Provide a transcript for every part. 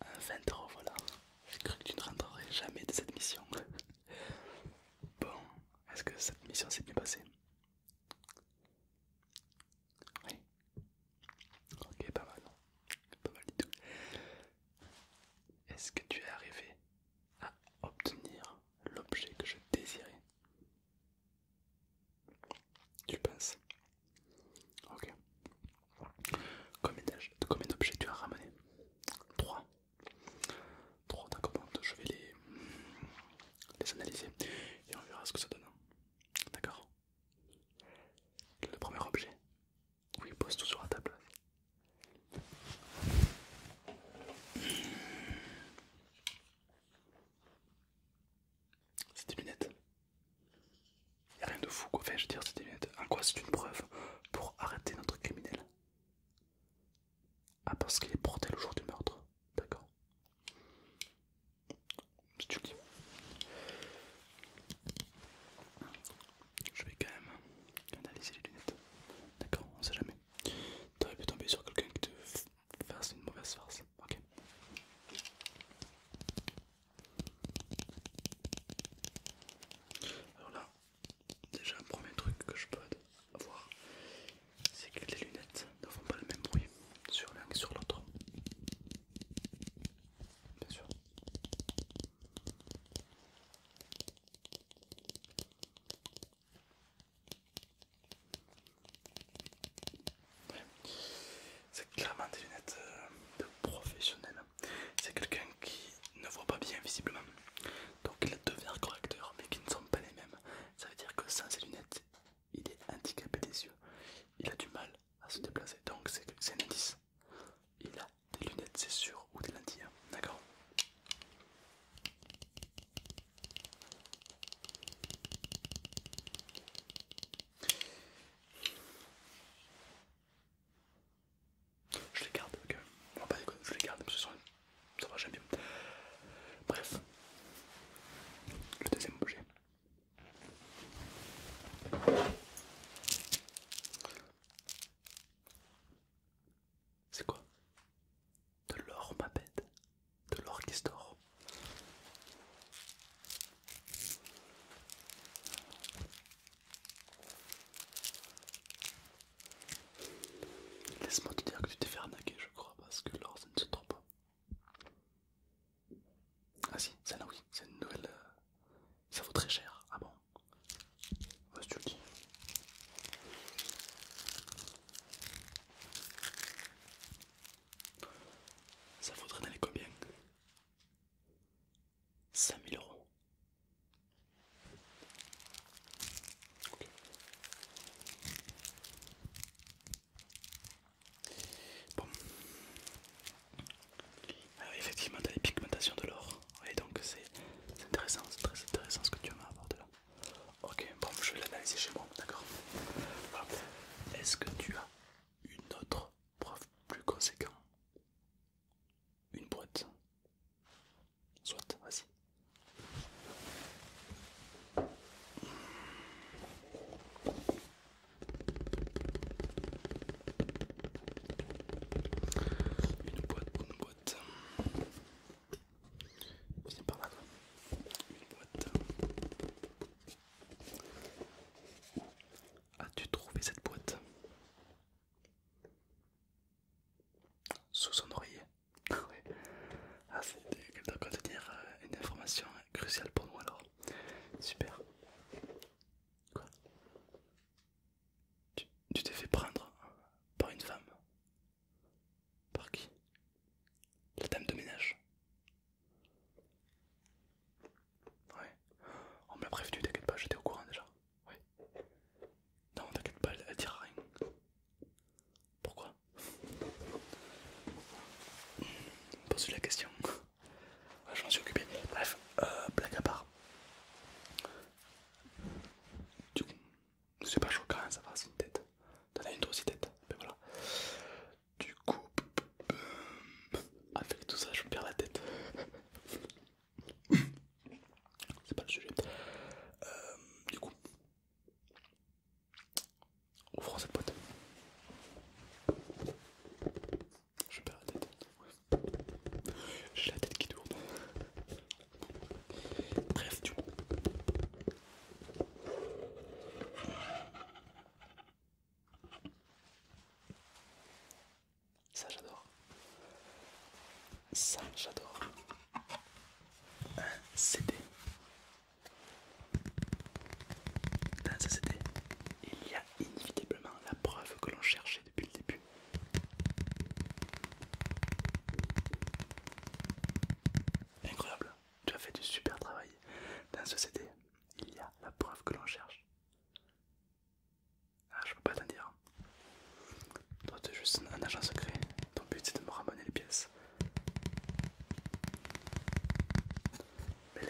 un euh, 20€ voilà j'ai cru que tu ne rentrerais jamais de cette mission. Bon, est-ce que cette mission s'est bien passée Oui. Ok, pas mal. Pas mal du tout. Est-ce que tu es arrivé à obtenir l'objet que je désirais Tu penses Ok. Combien, combien d'objets tu as ramené 3. 3, d'accord. Je vais les, les analyser et on verra ce que ça donne. Hein. D'accord Le premier objet. Oui, pose tout sur la table. Mmh. C'est des lunettes. Y'a a rien de fou quoi. Enfin, je veux dire, c'est lunettes. En quoi c'est une preuve pour arrêter notre criminel Ah, parce qu'il est porté le jour du meurtre. D'accord. C'est tu Je vais quand même analyser les lunettes. D'accord, on sait jamais. T'aurais pu tomber sur quelqu'un qui te fasse une mauvaise farce. Ok. Alors là, déjà, premier truc que je peux avoir, c'est que les lunettes ne font pas le même bruit sur l'un que sur l'autre. Bien sûr. C'est clairement des lunettes euh, de professionnel. C'est quelqu'un qui ne voit pas bien visiblement. Donc il a deux verres correcteurs mais qui ne sont pas les mêmes. Ça veut dire que sans ces lunettes, il est handicapé des yeux. Il a du mal à se déplacer. Donc c'est un indice. Il a des lunettes c'est sûr ou des lentilles. Hein. D'accord je les garde, ok. On va pas déconner, je les garde parce que ça, va jamais bien. Bref, le deuxième objet. C'est quoi De l'or, ma bête. De l'or qui Laisse-moi te dire que tu t'es fait arnaquer, je crois, parce que l'or ça ne se trompe pas. Ah si, celle-là oui, c'est une nouvelle. Euh, ça vaut très cher. Ah bon vas tu le dis. Ça vaudrait n'aller combien 5000 euros. Bon. effectivement, tu as les pigmentations de l'or. Et donc, c'est intéressant, c'est très intéressant ce que tu avoir de là. Ok, bon, je vais l'analyser chez moi, d'accord Est-ce que tu as une autre preuve plus conséquente. Une boîte. Soit, vas-y. Une boîte, une boîte. Viens par là. Une boîte. As-tu trouvé cette boîte Sous son oreiller. oui. Ah, ah c'est doit contenir euh, une information cruciale pour nous alors. Super. Quoi Tu t'es fait prendre par une femme Par qui La dame de ménage Ouais. On oh, m'a prévenu, t'inquiète pas, j'étais au courant déjà. Non, t'inquiète pas, elle, ne dira rien. Pourquoi Pose la question. Ouais, je m'en suis occupé. Bref, euh, blague à part. Du coup, c'est pas choquant, ça va, c'est une tête. T'en as une toi aussi tête. Mais ben voilà. Du coup, euh, avec tout ça, je perds la tête. C'est pas le sujet. Euh, du coup, ouvrons cette boîte. Je perds la tête. J'ai la tête qui tourne. Bref, du coup. Ça j'adore. Ça j'adore. Un CD. Dans ce CD, il y a inévitablement la preuve que l'on cherchait depuis le début. Incroyable, tu as fait du super travail dans ce CD il y a la preuve que l'on cherche. Ah, je peux pas t'en dire. Toi, tu es juste un agent secret. Ton but, c'est de me ramener les pièces. Mais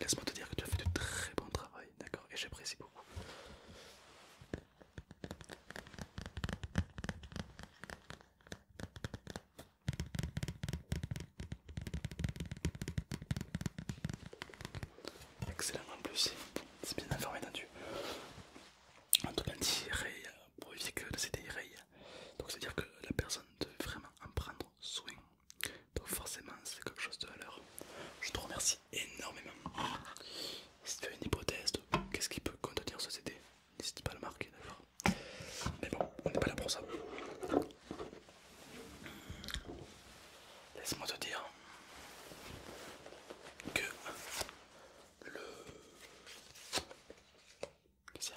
laisse-moi te dire que tu as fait du très bon travail, d'accord Et j'apprécie beaucoup. Excellent en plus, c'est bien informé d'un entendu. En tout cas, pour éviter que le CD donc c'est-à-dire que la personne devait vraiment en prendre soin. Donc forcément, c'est quelque chose de valeur. Je te remercie énormément. Si tu as une hypothèse, qu'est-ce qui peut contenir ce CD N'hésite pas à le marquer d'ailleurs. Mais bon, on n'est pas là pour ça. Laisse-moi te dire que le... Qu'est-ce que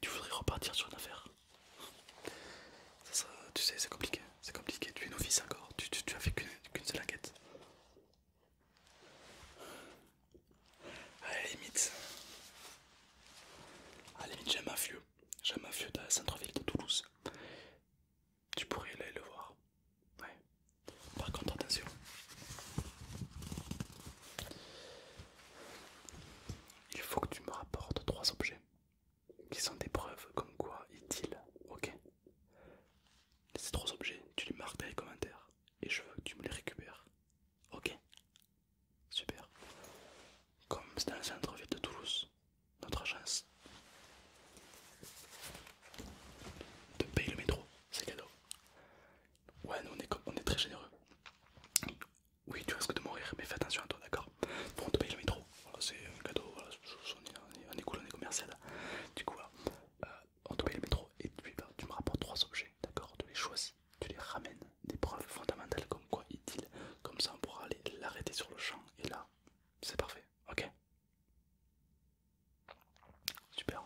Tu voudrais repartir sur une affaire Tu sais, c'est compliqué, c'est compliqué, tu es fils encore, tu, tu, as fait qu'une seule enquête. À la limite, à la limite, j'ai un mafieux, j'ai un mafieux dans la centre-ville de Toulouse. Tu pourrais aller le voir. Ouais. Par contre, attention. Il faut que tu me rapportes trois objets qui sont des preuves comme quoi est-il, ok Ces trois objets, tu les marques dans les commentaires et je veux que tu me les récupères, ok Super. Comme c'est dans le centre-ville de Toulouse, notre agence. te paye le métro, c'est cadeau. Ouais, nous on est, très généreux. Oui, tu risques de mourir, mais fais attention à toi, d'accord Bon, on te paye le métro, voilà, c'est un cadeau, on, est, cool, on est commercial. Du coup, euh, on te paye le métro et puis tu me rapportes trois objets, d'accord Tu les choisis tu les ramènes des preuves fondamentales comme quoi il comme ça on pourra aller l'arrêter sur le champ et là c'est parfait, ok Super.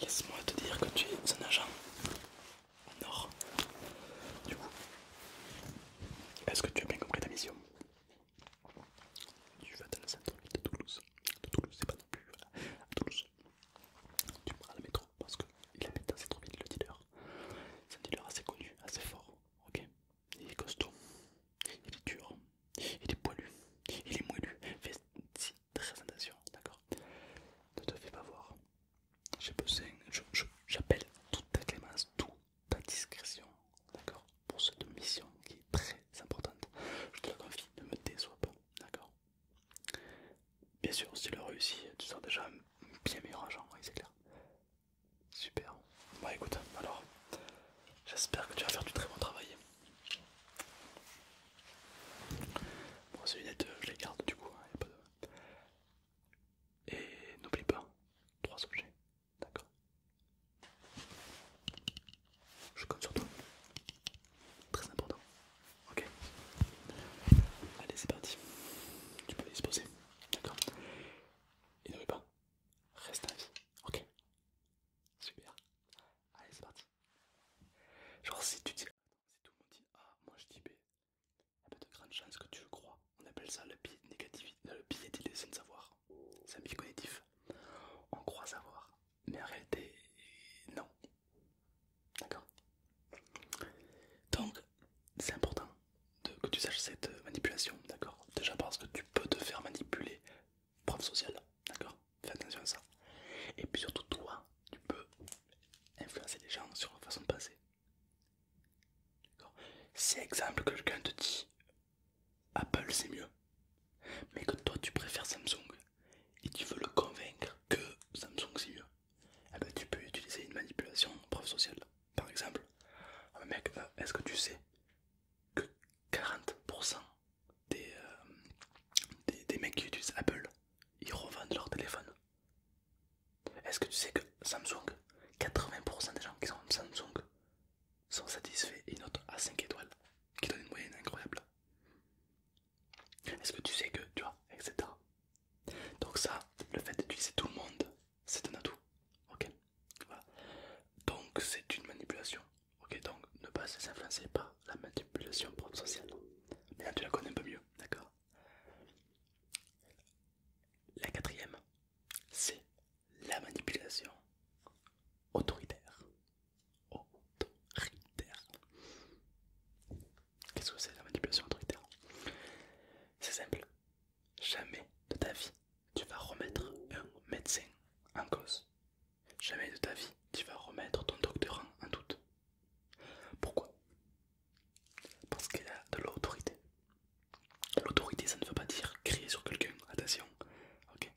Laisse-moi te dire que tu es un agent en or. Du coup, est-ce que tu as bien compris ta mission Tu vas dans le centre de Toulouse. De Toulouse, c'est pas non plus, voilà. À Toulouse. Tu prends la métro parce qu'il la dans cette le dealer. C'est un dealer assez connu, assez fort, ok Il est costaud, il est dur, il est poilu, il est moellu. Fais très attention, d'accord Ne te fais pas voir. j'appelle toute ta clémence, toute ta discrétion, d'accord Pour cette mission qui est très importante. Je te la confie, ne me déçois pas, d'accord Bien sûr, si tu le réussis, tu seras déjà un bien meilleur agent, c'est clair. Super. Bah écoute, alors, j'espère que tu vas faire du très bon travail. Bon, ces lunettes, euh, je les garde du coup, hein, pas Et n'oublie pas, trois objets, d'accord Je compte sur toi. Très important. Ok. Allez, c'est parti. Tu peux disposer. D'accord. Et ne pas. Reste à vie. Ok. Super. Allez, c'est parti. Genre si tu dis ah, tout le monde dit ah, moi je dis B, il y a de grandes chances que tu le crois. On appelle ça le biais négatif, le biais d'illusion de savoir. C'est un biais cognitif. On croit savoir, mais en réalité, non. D'accord Donc, c'est important que tu saches cette manipulation, d'accord Déjà parce que tu peux te faire manipuler, preuve sociale, d'accord Fais attention à ça. Et puis surtout, toi, tu peux influencer les gens sur la façon de penser. Si exemple quelqu'un te dit Apple c'est mieux, mais que toi tu préfères Samsung, et tu veux le convaincre que Samsung c'est mieux, eh ben, tu peux utiliser une manipulation preuve sociale. Par exemple, Un ah, mec, euh, est-ce que tu sais que 40% des, euh, des, des mecs qui utilisent Apple, ils revendent leur téléphone Est-ce que tu sais que Samsung, 80% des gens qui sont Samsung sont satisfaits et notent à 5 étoiles, qui donne une moyenne incroyable est-ce que tu sais que, tu vois, etc. Donc ça, le fait d'utiliser tout le monde, c'est un atout. Ok Donc c'est une manipulation. Ok, donc ne pas se influencer par la manipulation propre sociale. maintenant tu la connais un peu mieux, d'accord La quatrième, c'est la manipulation autoritaire autoritaire. Qu'est-ce que c'est la manipulation autoritaire C'est simple. Jamais de ta vie tu vas remettre un médecin en cause. Jamais de ta vie tu vas remettre ton doctorant en doute. Pourquoi Parce qu'il a de l'autorité. L'autorité, ça ne veut pas dire crier sur quelqu'un, attention. Ok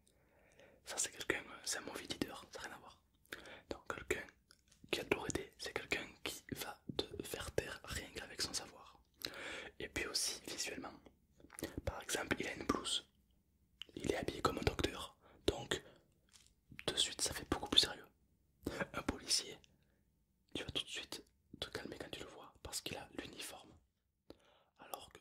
Ça, c'est quelqu'un, c'est un mauvais leader, ça n'a rien à voir. Donc quelqu'un qui a toujours c'est quelqu'un qui va te faire taire rien qu'avec son savoir. Et puis aussi visuellement. Par exemple, il a une blouse. Il est habillé comme un docteur. Donc, de suite, ça fait beaucoup plus sérieux. Un policier, tu vas tout de suite te calmer quand tu le vois parce qu'il a l'uniforme. Alors que